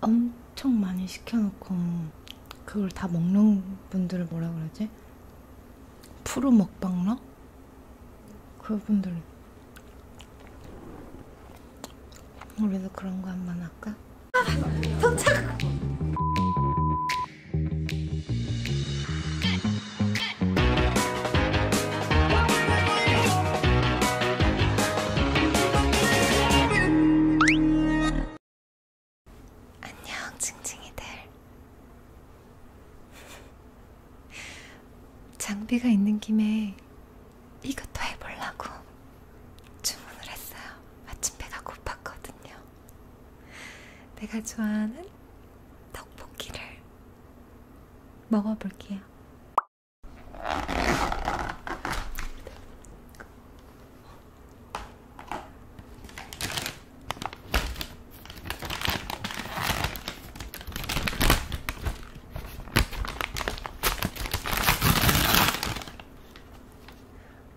엄청 많이 시켜놓고 그걸 다 먹는 분들을 뭐라 그러지? 프로 먹방러? 그분들 우리도 그런 거 한 번 할까? 아, 도착! 안녕 징징이들 장비가 있는 김에 이것도 해보려고 주문을 했어요 마침 배가 고팠거든요 내가 좋아하는 떡볶이를 먹어볼게요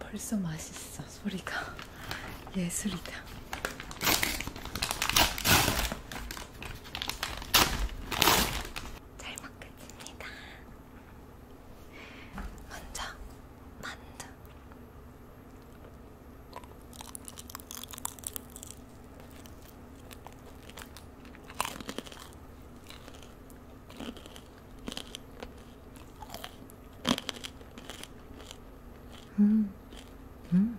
벌써 맛있어. 소리가 예술이다. 잘 먹겠습니다. 먼저 만두. 음, 음,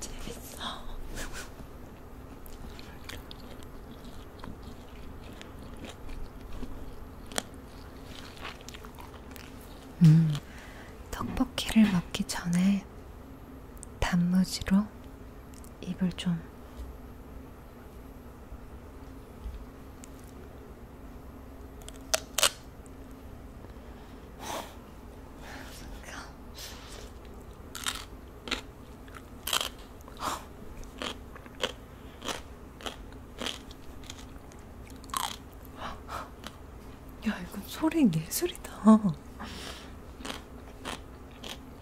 재밌어. 음, 떡볶이를 먹기 전에 단무지로 입을 좀야 이건 소리 예술이다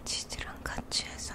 치즈랑 같이 해서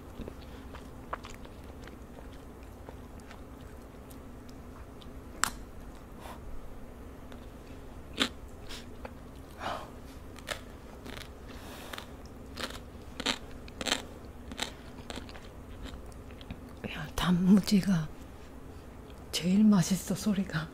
야, 단무지가 제일 맛있어 소리가.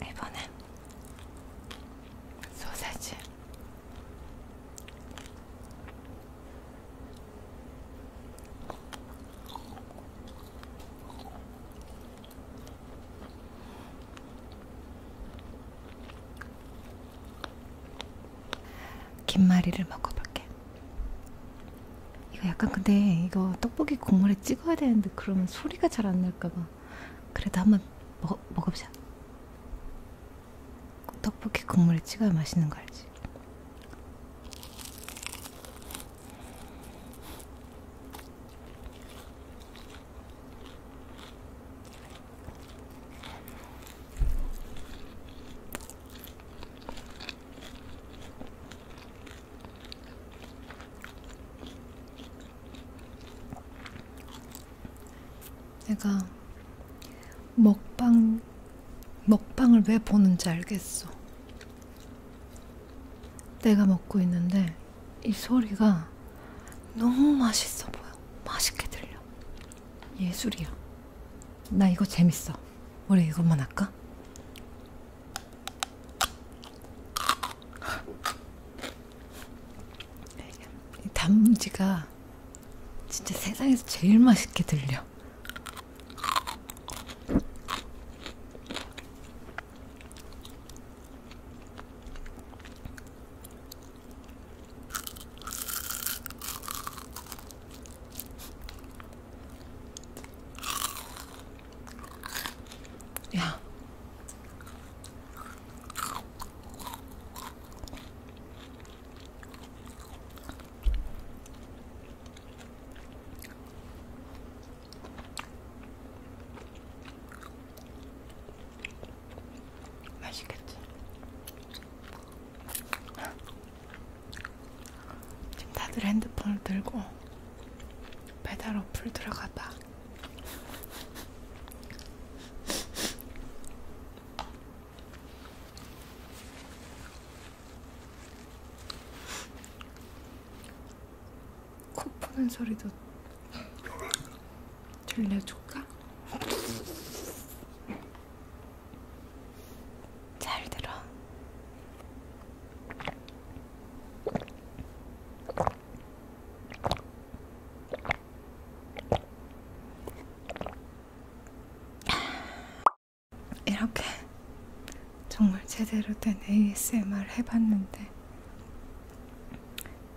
エボねソーセージ 김말이를 먹어볼게. 이거 약간 근데 이거 떡볶이 국물에 찍어야 되는데 그러면 소리가 잘 안 날까봐. 그래도 한번 먹 먹어보자. 떡볶이 국물에 찍어야 맛있는 거 알지? 내가 먹방 먹방을 왜 보는지 알겠어. 내가 먹고 있는데 이 소리가 너무 맛있어 보여. 맛있게 들려. 예술이야. 나 이거 재밌어. 우리 이것만 할까? 단무지가 진짜 세상에서 제일 맛있게 들려. 야. 맛있겠지? 지금 다들 핸드폰을 들고 배달 어플 들어가봐. 코 푸는 소리도 들려줄까? 잘 들어. 이렇게 정말 제대로 된 ASMR 해봤는데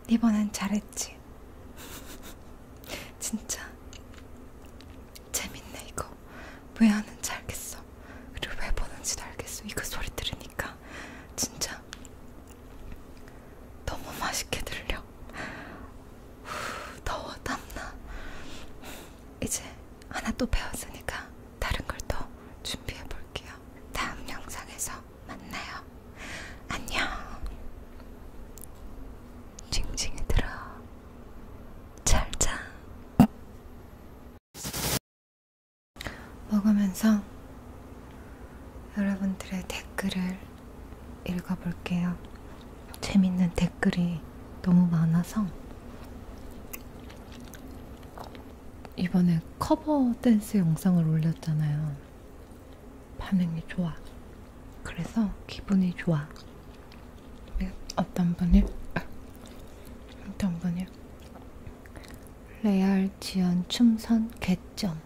이번엔 잘했지. 진짜 재밌네 이거. 왜 하는지 알겠어. 그리고 왜 보는지도 알겠어. 이거 소리 들으니까 진짜 너무 맛있게 들려. 후, 더워 땀나. 이제 하나 또 배웠으니까 다른 걸 또 준비해 볼게요. 다음 영상에서 만나요. 안녕. 징징이 들어. 잘 자. 먹으면서 여러분들의 댓글을 읽어볼게요. 재밌는 댓글이 너무 많아서 이번에 커버 댄스 영상을 올렸잖아요. 반응이 좋아. 그래서 기분이 좋아. 네, 어떤 분이 아, 어떤 분이 레알 지연 춤선 개점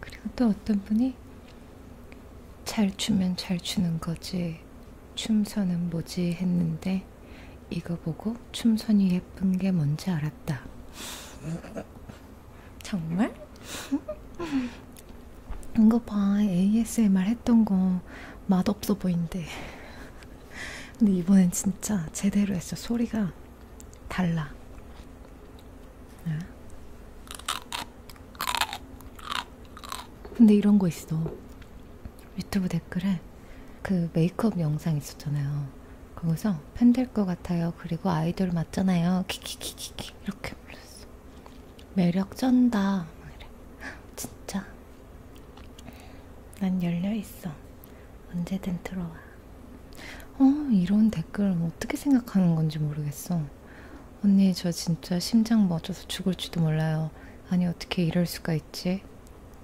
그리고 또 어떤 분이 잘 추면 잘 추는 거지 춤선은 뭐지 했는데 이거 보고 춤선이 예쁜 게 뭔지 알았다. 정말? 이거 봐 ASMR 했던 거 맛없어 보인대. 근데 이번엔 진짜 제대로 했어. 소리가 달라. 네. 근데 이런 거 있어. 유튜브 댓글에 그 메이크업 영상 있었잖아요. 거기서 팬 될 것 같아요. 그리고 아이돌 맞잖아요. 키키키키키 이렇게 불렀어. 매력 쩐다. 막 이래. 진짜. 난 열려 있어. 언제든 들어와. 어, 이런 댓글 뭐 어떻게 생각하는 건지 모르겠어. 언니, 저 진짜 심장 멎어서 죽을지도 몰라요. 아니, 어떻게 이럴 수가 있지?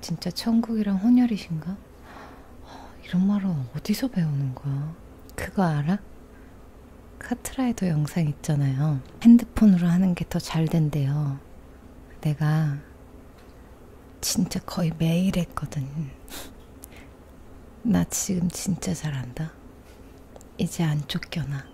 진짜 천국이랑 혼혈이신가? 어, 이런 말은 어디서 배우는 거야? 그거 알아? 카트라이더 영상 있잖아요. 핸드폰으로 하는 게 더 잘 된대요. 내가 진짜 거의 매일 했거든. 나 지금 진짜 잘한다. 이제 안 쫓겨나.